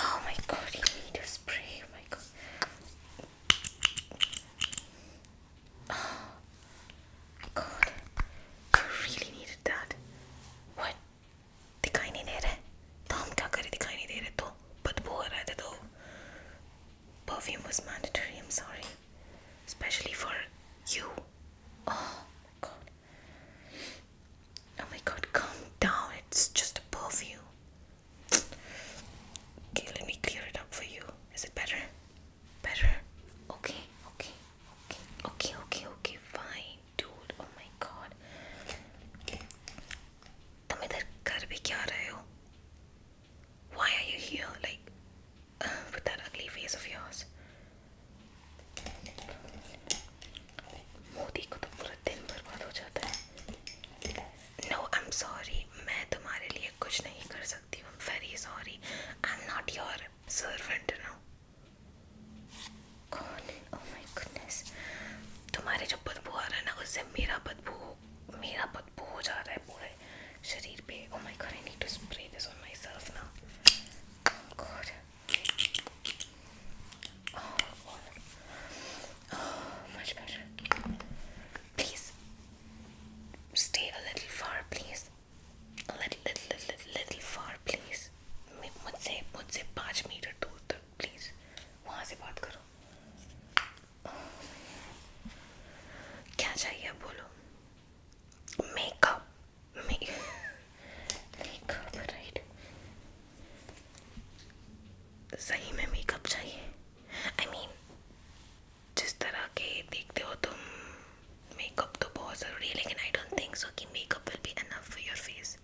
Oh my god, you need a spray. Oh my god. Oh my god. You really needed that. What? दिखाई नहीं दे रहा है तो हम क्या करें दिखाई नहीं दे रहे तो बदबू हो रहा था तो perfume mandatory I'm sorry especially for you oh my god Oh my god, calm down. It's just above you. Okay, let me clear it up for you. Is it better? Better? Okay, okay, okay, okay, okay, okay, fine, dude. Oh my god. Why are here? with that ugly face of yours. Modi को तो पूरा दिन बर्बाद हो जाता है no I am sorry मैं तुम्हारे लिए कुछ नहीं कर सकती हूँ very sorry I am not your servant no कौन ओह माय गुडनेस तुम्हारे जो बदबू आ रहा है ना उससे मेरा बदबू मेरा बदबू हो जा रहा है पूरे शरीर पे oh my God I need to spray this on myself now God. Oh, God. Oh, much better. Please stay a little far, please. A little, little, little, little far, please. मुझसे मुझसे पाँच metre दूर तक please वहाँ से बात करो क्या चाहिए बोलो मेकअप make मेकअप राइट सही में मेकअप चाहिए आई I मीन mean, जिस तरह के देखते हो तुम मेकअप तो बहुत ज़रूरी है लेकिन आई डोंट थिंक सो कि makeup will be enough for your face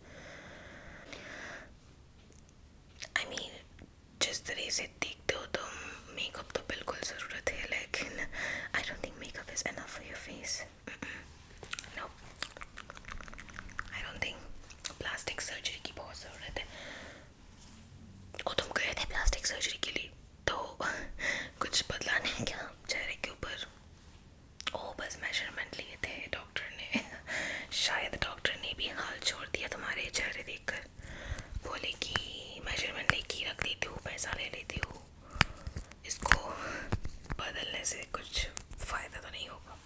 I mean जिस तरह से देखते हो तुम मेकअप तो बिल्कुल ज़रूरत है लेकिन I don't think makeup is enough for your face no I don't think plastic surgery की बहुत ज़रूरत है और तुम गए थे प्लास्टिक सर्जरी के लिए तो कुछ बदला नहीं क्या चेहरे के ऊपर ओ बस मेजरमेंट लिए थे डॉक्टर ने शायद डॉक्टर ने भी हाल छोड़ दिया तुम्हारे चेहरे देखकर बोले कि मेजरमेंट लेके रख देती हूँ पैसा ले लेती हूँ इसको बदलने से कुछ फ़ायदा तो नहीं होगा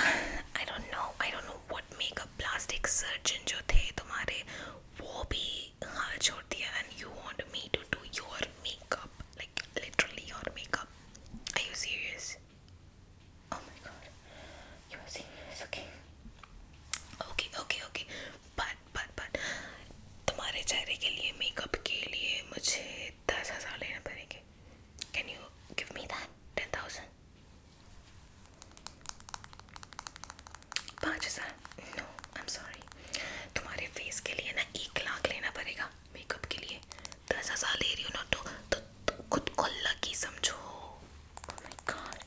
I don't know I don't know what makeup plastic surgeon जो थे तुम्हारे वो भी हाल छोड़ दिया and you want me to do your makeup like literally your makeup I you serious Oh my god. You will see. It's okay. Okay, okay, okay. But, but, but. तुम्हारे चेहरे के लिए मेकअप के लिए मुझे दस हज़ार लेने पड़ेंगे can you give me that ten thousand पाँच हज़ार नो आई एम सॉरी तुम्हारे फेस के लिए ना एक लाख लेना पड़ेगा मेकअप के लिए दस हज़ार ले रही हो ना तो, तो, तो खुद को लकी समझो oh my God.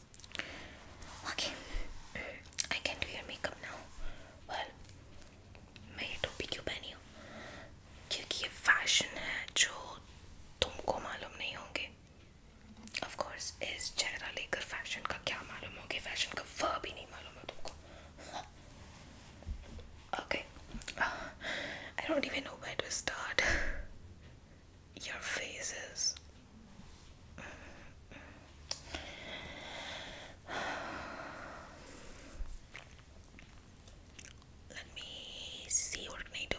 Okay, I can do your makeup now. Well, मैं ये टोपी क्यों पहनी हूँ क्योंकि ये फैशन है जो तुमको मालूम नहीं होंगे ऑफ कोर्स इस चेहरा लेकर फैशन का क्या मालूम होगी फैशन का वह भी नहीं मालूम है तुमको okay I don't even know where to start your faces. Let me see what can I do.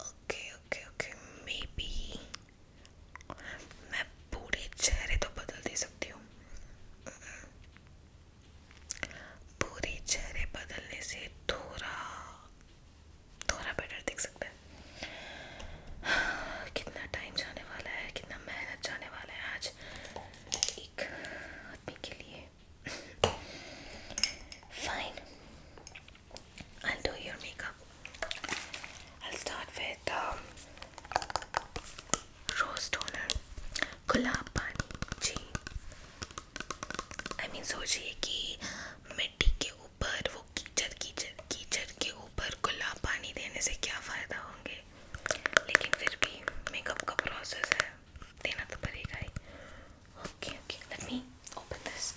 Okay, okay, okay. Maybe मैं पूरे चेहरे तो बदल दे सकती हूँ पूरे चेहरे बदलने से थोड़ा थोड़ा बेटर दिख सकता है कितना टाइम जाने वाला है कितना मेहनत जाने वाला है आज एक आदमी के लिए fine I'll do your makeup. I'll start with um, rose toner, gulab pani, जी आई I मीन mean, सोचिए कि मिट्टी के ऊपर वो कीचड़ कीचड़ कीचड़ के ऊपर खुला पानी देने से क्या फ़ायदा होंगे लेकिन फिर भी मेकअप का प्रोसेस है देना तो पड़ेगा ही okay okay let me open this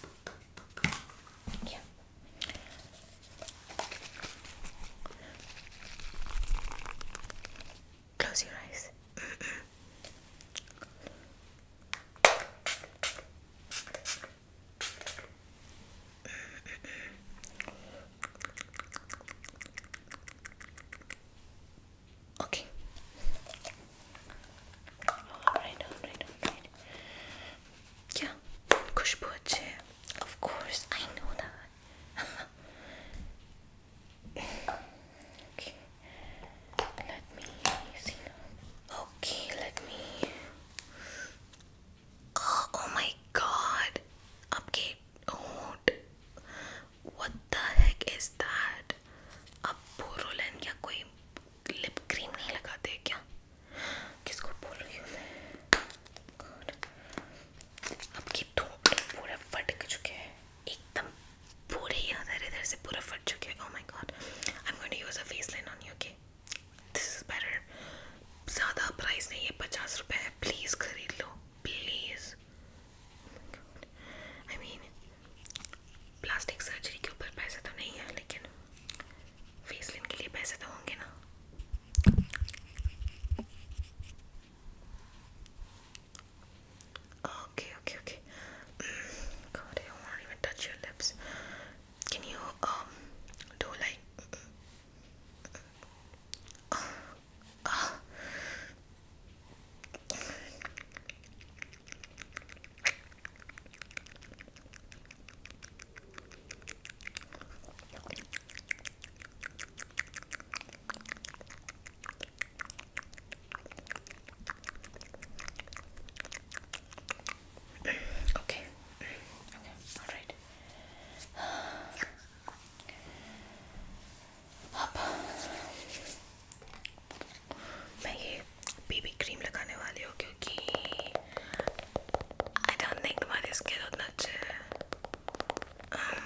Close your eyes. Okay. Alright, alright, alright. Yeah, Of course, I know that. Okay, let me see. Okay, let me. Oh, oh my God! Okay, don't. What the heck is that? अब बोरोलन या कोई lip cream नहीं लगाते क्या? किसको बोल रही हूँ मैं? God. अब ये पूरा फट चुके हैं एकदम पूरे ही अदर इधर से पूरा फट चुके हैं oh my God I am going to use a face line on you okay this is better ज़्यादा प्राइस नहीं है पचास रुपये है प्लीज़ खरीद लो please I mean plastic surgery के ऊपर पैसे तो नहीं है लेकिन फेस लाइन के लिए पैसे तो होंगे ना Okay, okay, okay. Mm, God, I won't even touch your lips. Can you um do like? Okay. Okay. All right. अब मैं ये बीबी क्रीम लगाने वाली हूँ क्योंकि आई डोंट थिंक तुम्हारी स्किन उतना अच्छे है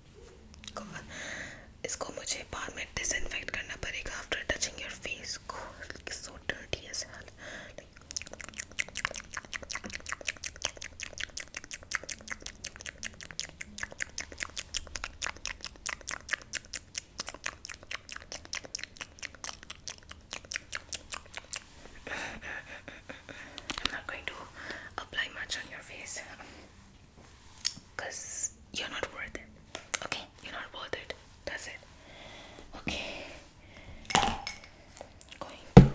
इसको मुझे बाद में डिसइनफेक्ट करना पड़ेगा आफ्टर टचिंग योर फेस को so dirty as hell I'm not going to apply much on your face. because you're not worth it. Okay, you're not worth it. That's it. Okay, I'm going to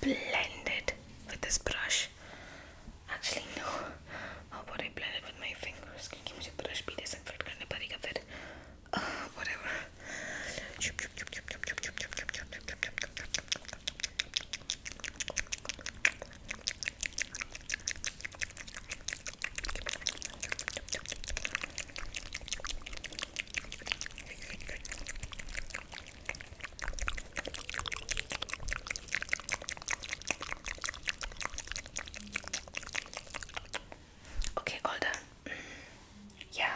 blend it with this brush. Actually, no. How about I blend it with my fingers? क्योंकि मुझे brush भी disinfect करने पड़ेगा फिर. Uh, whatever. Okay, all done. Yeah.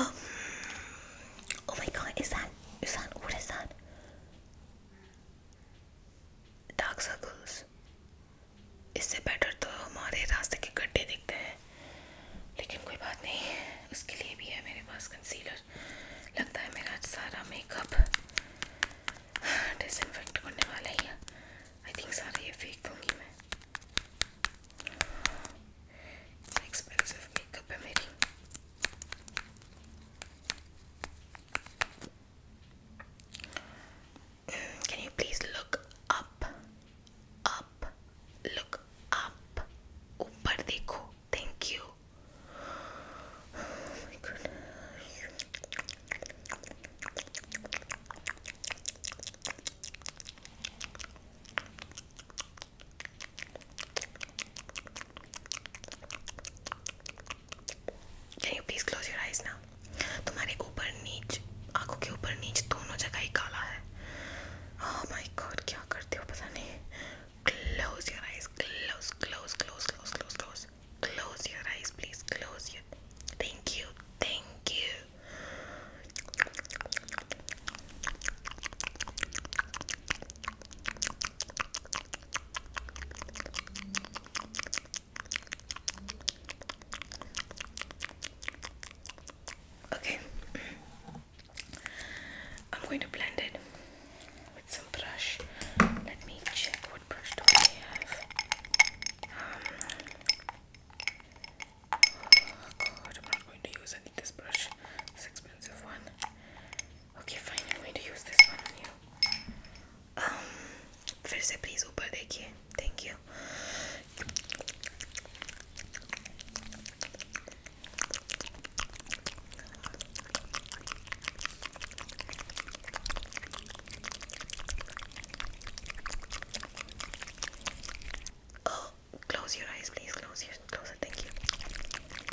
Um, oh my god, is that, is that, what is that? Dark circles इससे better तो हमारे रास्ते के गड्ढे दिखते हैं लेकिन कोई बात नहीं उसके लिए भी है मेरे पास कंसीलर लगता है मेरा सारा मेकअप डिसइनफेक्ट करने वाला ही है आई थिंक सारा ये फेंक दूँगी मैं एक्सपेंसिव मेकअप है मेरी can you please look up? Up, look up. Upar Thank you. Can you please close your eyes now? तुम्हारे ऊपर नीच आंखों के ऊपर नीच दोनों जगह ही काला है oh my God, क्या करते हो पता नहीं Close your eyes, close, close, close, close, close, close. Close your eyes, please. Close your. Thank you, thank you. Okay, I'm going to blend it with some brush. Let me check what brush do I have. Um, oh God, I'm not going to use. I this brush. expensive one. Okay, fine. I'm to use this one on you. Um, फिर से please ऊपर देखिए. Thank you. Oh, close your eyes, please. Close your, close it. Thank you.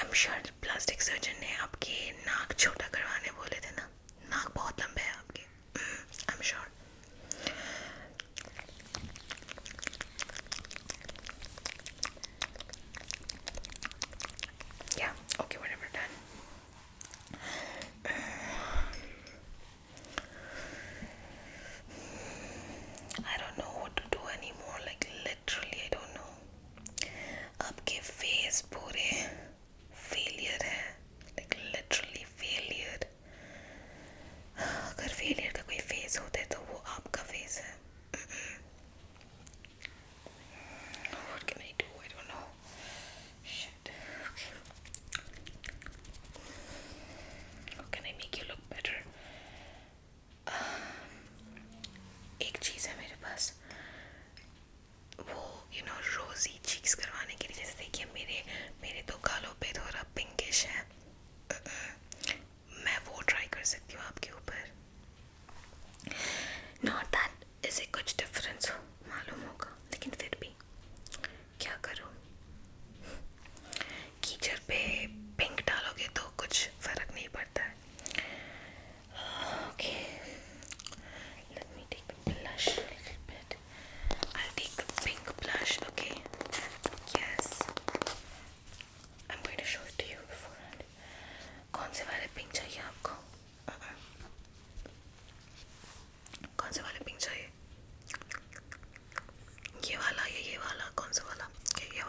I am sure plastic surgeon ने आपके नाक छोटा करवाने बोले थे ना नाक बहुत लंबे है आपके I am sure Yeah, okay, whatever, done. I don't know what to do anymore. Like, literally I don't know आपके face पूरे failure है like literally failure अगर failure का कोई face होता है तो वो आपका face है what can I do I don't know shit how can I make you look better um, एक चीज़ है मेरे पास वो यू नो रोज़ी चीक्स करवाने के लिए जैसे देखिए मेरे मेरे तो गालों पे थोड़ा पिंकिश है मैं वो ट्राई कर सकती हूँ आपके ऊपर नॉट दैट इसे कुछ डिफरेंस हो मालूम होगा लेकिन फिर भी क्या करो कीचड़ पे पिंक डालोगे तो कुछ फ़र्क नहीं पड़ता है Okay, let me take the blush a little bit. I'll take the pink blush, okay? Yes. I'm going to show it to you beforehand. कौन से वाले पिंक चाहिए आपको? Uh -uh. कौन से वाले पिंक चाहिए? ये वाला या ये वाला? कौन सा वाला? ये, ये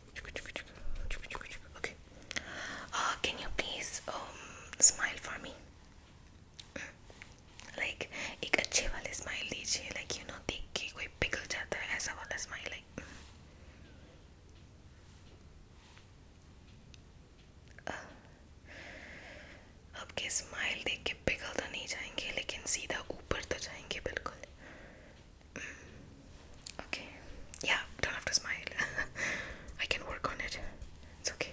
Okay. Uh, can you please um, smile for me? Mm. Like एक अच्छे वाले smile दीजिए like you know देख के कोई पिघल जाता है ऐसा वाला smile like mm. uh. आपके स्माइल देख के पिघल तो नहीं जाएंगे लेकिन सीधा ऊपर तो जाएंगे बिल्कुल Okay. Yeah, don't have to smile. I can work on it. It's okay.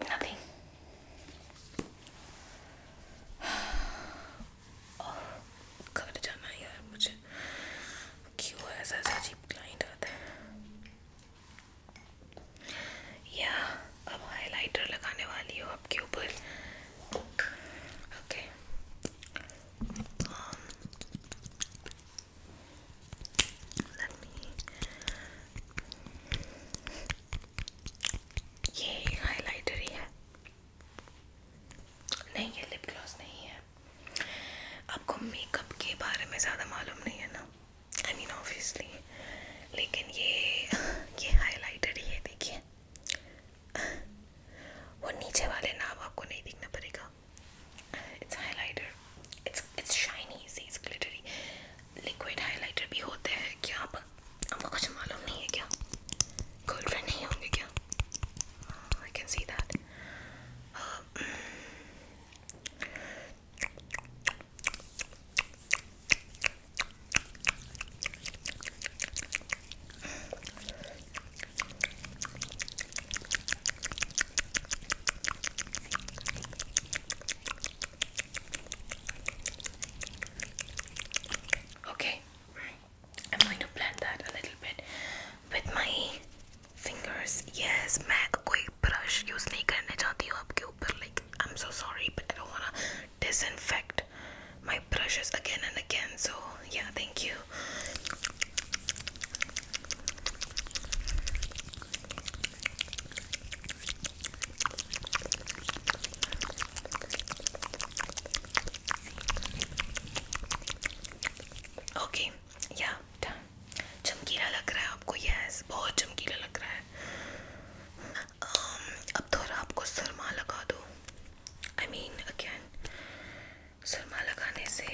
nothing. Oh, घर जाना यार मुझे क्यों ऐसा ऐसा अजीब क्लाइंट आता है या अब हाइलाइटर लगाने वाली हो आपके ऊपर ओके um, Let me ये हाइलाइटर ही है नहीं ये लिप ग्लॉस नहीं है आपको मेकअप के बारे में ज़्यादा मालूम नहीं है ना आई मीन ऑब्वियसली लेकिन ये ये हाइलाइटर ही है देखिए वो नीचे वाले नाम आपको नहीं दिखना पड़ेगा it's highlighter it's it's shiny see it's glittery liquid highlighter भी होते हैं क्या आप आपको कुछ मालूम नहीं है क्या गर्लफ्रेंड नहीं होंगे क्या I can see that Okay, I'm going to blend that a little bit with my fingers. Yes, मैं कोई brush use नहीं करने चाहती हूँ आपके I'm so sorry but I don't wanna disinfect my brushes again and again. So yeah, thank you. Okay या done चमकीला लग रहा है आपको यस बहुत चमकीला लग रहा है um, अब थोड़ा आपको सुरमा लगा दो आई मीन अगेन सुरमा लगाने से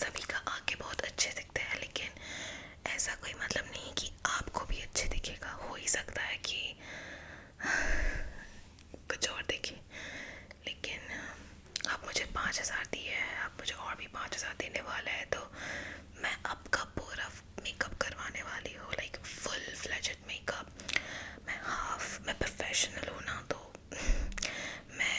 सभी का आंखें बहुत अच्छे दिखते हैं लेकिन ऐसा कोई मतलब नहीं है कि आपको भी अच्छे दिखेगा हो ही सकता है कि कुछ और देखे लेकिन आप मुझे पाँच हज़ार दिए हैं आप मुझे और भी पाँच हज़ार देने वाला है तो मैं आपका पूरा मेकअप करवाने वाली हूँ लाइक फुल फ्लैजड मेकअप मैं हाफ मैं प्रोफेशनल हूँ ना तो मैं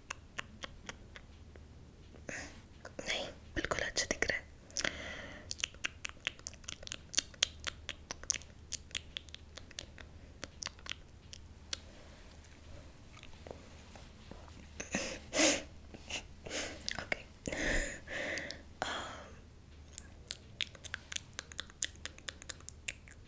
नहीं बिल्कुल अच्छा दिख रहा है okay um,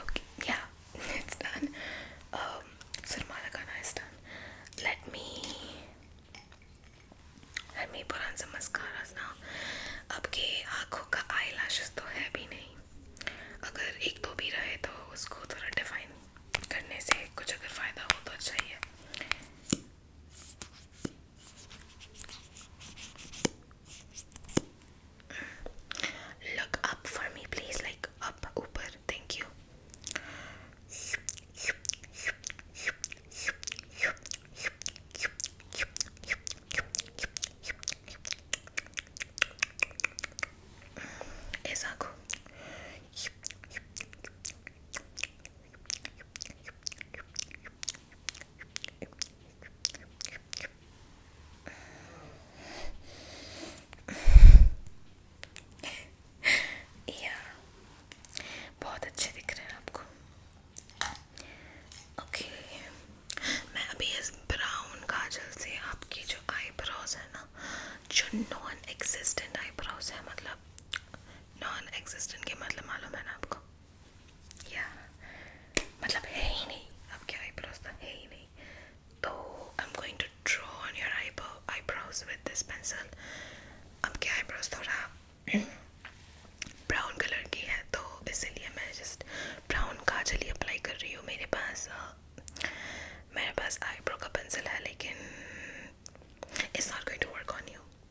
Okay, yeah, it's done. Um, Surmalakana is done. Let me let me put on some mascaras now. आपके आँखों का आई तो है भी नहीं अगर एक दो भी रहे तो उसको थोड़ा डिफाइन करने से कुछ अगर फ़ायदा हो तो अच्छा ही है Look up for me, please. Like up, upper. Thank you. Exacto. आपको मैं अभी काजल से आपकी जो आईब्रोज है ना जो नॉन एग्जिस्टेंट आईब्रोज है मतलब नॉन एक्सिस्टेंट के मतलब मालूम है ना आपको या मतलब है ही नहीं आपके आईब्रोज तो है ही नहीं तो I am going to draw on your eyebrow eyebrows with this pencil आपके आईब्रोज थोड़ा ब्राउन कलर की है तो इसीलिए मैं जस्ट ब्राउन काजल ही अप्लाई कर रही हूँ मेरे पास मेरे पास आईब्रो का पेंसिल है लेकिन it's not going to work on you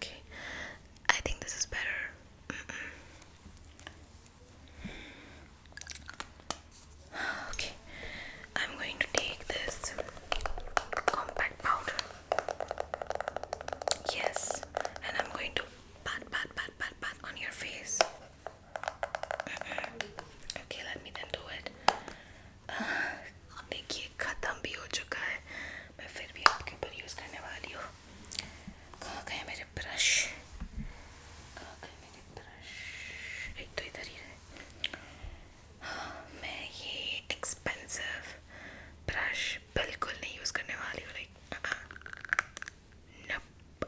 Okay, I think this is better. Okay, I'm going to take this compact powder. Yes, and I'm going to pat, pat, pat, pat, pat on your face. okay, let me then do it. देखिए खत्म भी हो चुका है मैं फिर भी आपके ऊपर यूज़ करने वाली हूँ कहाँ गए मेरे ब्रश कहाँ गए मेरे ब्रश एक तो इधर ही है मैं ये एक्सपेंसिव ब्रश बिल्कुल नहीं यूज़ करने वाली हूँ like nope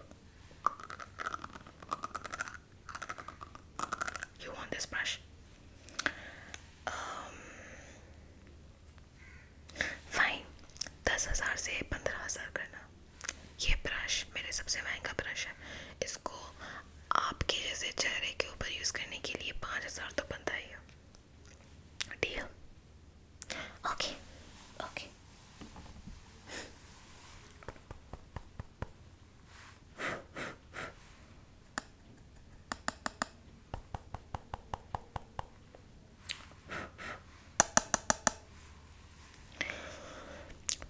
you want this brush fine दस हज़ार से पंद्रह हज़ार करना ये ब्रश मेरे सबसे महंगा ब्रश है इसको आपके जैसे चेहरे के ऊपर यूज़ करने के लिए पाँच हज़ार तो बनता ही है deal okay okay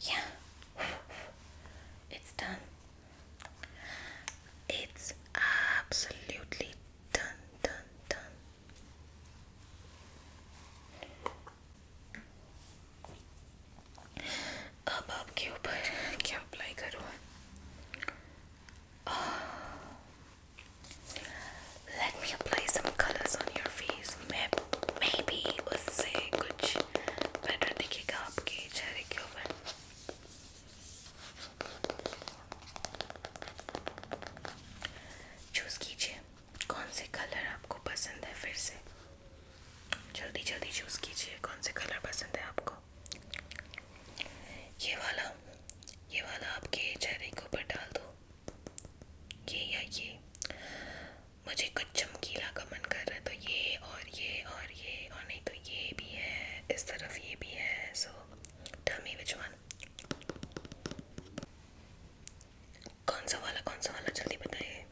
Yeah, it's done. It's absolutely done, done, done. अब आपके ऊपर क्या अप्लाई करूँ ah. Let me apply some colors on your face. Maybe उससे कुछ better रखिएगा आपके चेहरे के ऊपर चूज कीजिए कौन से कलर आपको पसंद है फिर से जल्दी जल्दी चूज कीजिए कौन से कलर पसंद है आपको ये वाला ये वाला आपके चेहरे के ऊपर डाल दो ये या ये मुझे कुछ चमकीला का मन कर रहा है तो ये और ये और ये और नहीं तो ये भी है इस तरफ ये भी है so tell me which one कौन सा वाला कौन सा वाला जल्दी बताइए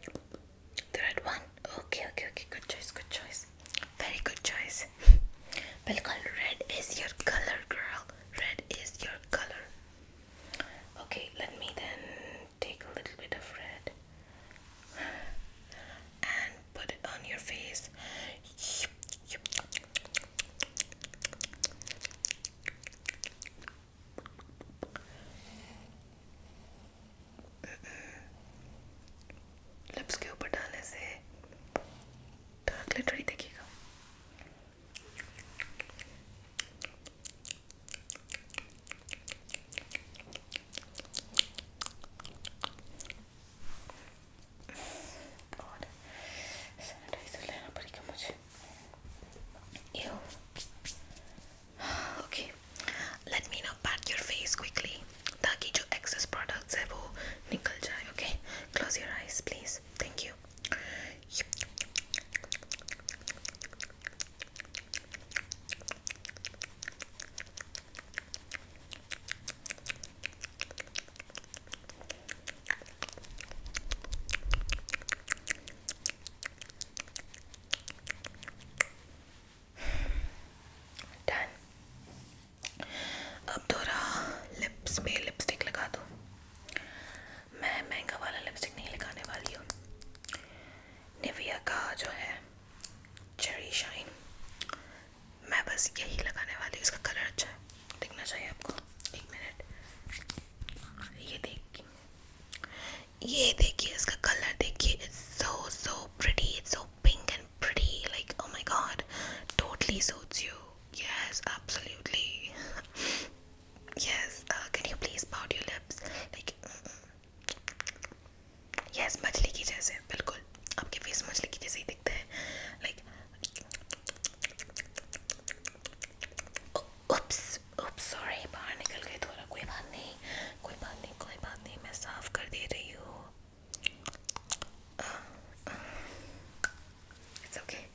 the red one okay okay okay good choice good choice very good choice बिल्कुल red is your colour girl red is your colour okay let me then take a little bit of red and put it on your face. Lips के ऊपर डालने से dark लिटर ही दिखेगा और sanitiser लेना पड़ेगा मुझे okay let me now pat your face quickly ताकि जो एक्सेस प्रोडक्ट्स है वो निकल जाए okay close your eyes please thank you done अब थोड़ा लिप्स पे लिपस्टिक लगा दो मैं महंगा वाला लिपस्टिक नहीं लगाने वाली हूँ निविया का जो है चेरी शाइन मैं बस यही लगाने वाली हूँ इसका कलर अच्छा है दिखना चाहिए आपको एक मिनट ये देखिए ये देखिए इसका कलर देखिए it's so so pretty it's so pink and pretty like oh my God totally suits you yes absolutely Yes, uh, can you please pout your lips? Like, mm -mm. yes, मछली की जैसे बिल्कुल आपके face मछली की जैसे ही दिखता है like Oops, oops, sorry, बाहर निकल गए थोड़ा कोई बात नहीं कोई बात नहीं कोई बात नहीं मैं साफ कर दे रही हूँ it's uh, okay uh,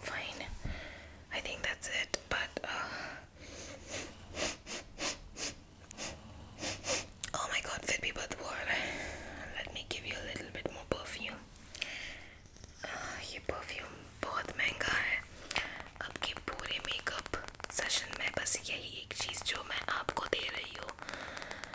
Fine. I think that's it, but uh... oh my god, Fitbit but what? Let me give you a little bit more perfume. Uh, ये परफ्यूम बहुत महंगा है आपके पूरे मेकअप सेशन में बस यही एक चीज़ जो मैं आपको दे रही हूँ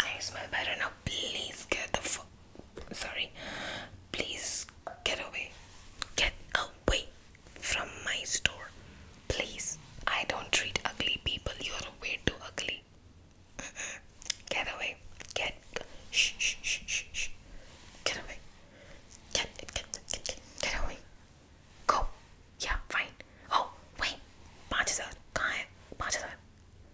I smell better now. Please get the fuck. Sorry. Please get away. Get away from my store. Please. I don't treat ugly people. You are way too ugly. Get away. Get. Shh, shh, shh, shh, shh. Get away. Get, get, get, get, get away. Go. Yeah, fine. Oh, wait. 5000. कहाँ है? 5000.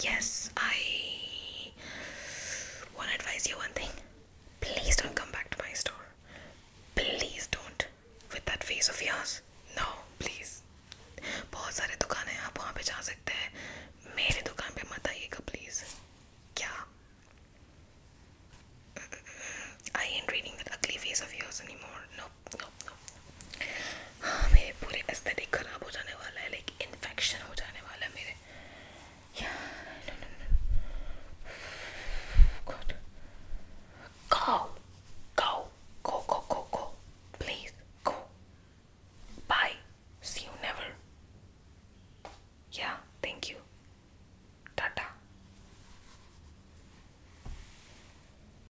yes i want advise you one thing please don't come back to my store please don't with that face of yours no please बहुत सारे दुकान हैं आप वहाँ पे जा सकते हैं मेरे दुकान पे मत आइएगा प्लीज क्या mm, mm, mm. I ain't reading that ugly face of yours anymore. No, no no हाँ मेरे पूरे एस्थेटिक ख़राब हो जाने वाला है लाइक इन्फेक्शन हो जाने वाला है मेरे या नो नो नो गॉड काओ काओ Go, go, go, go. Please, go. Bye. See you never. Yeah, thank you. Tata.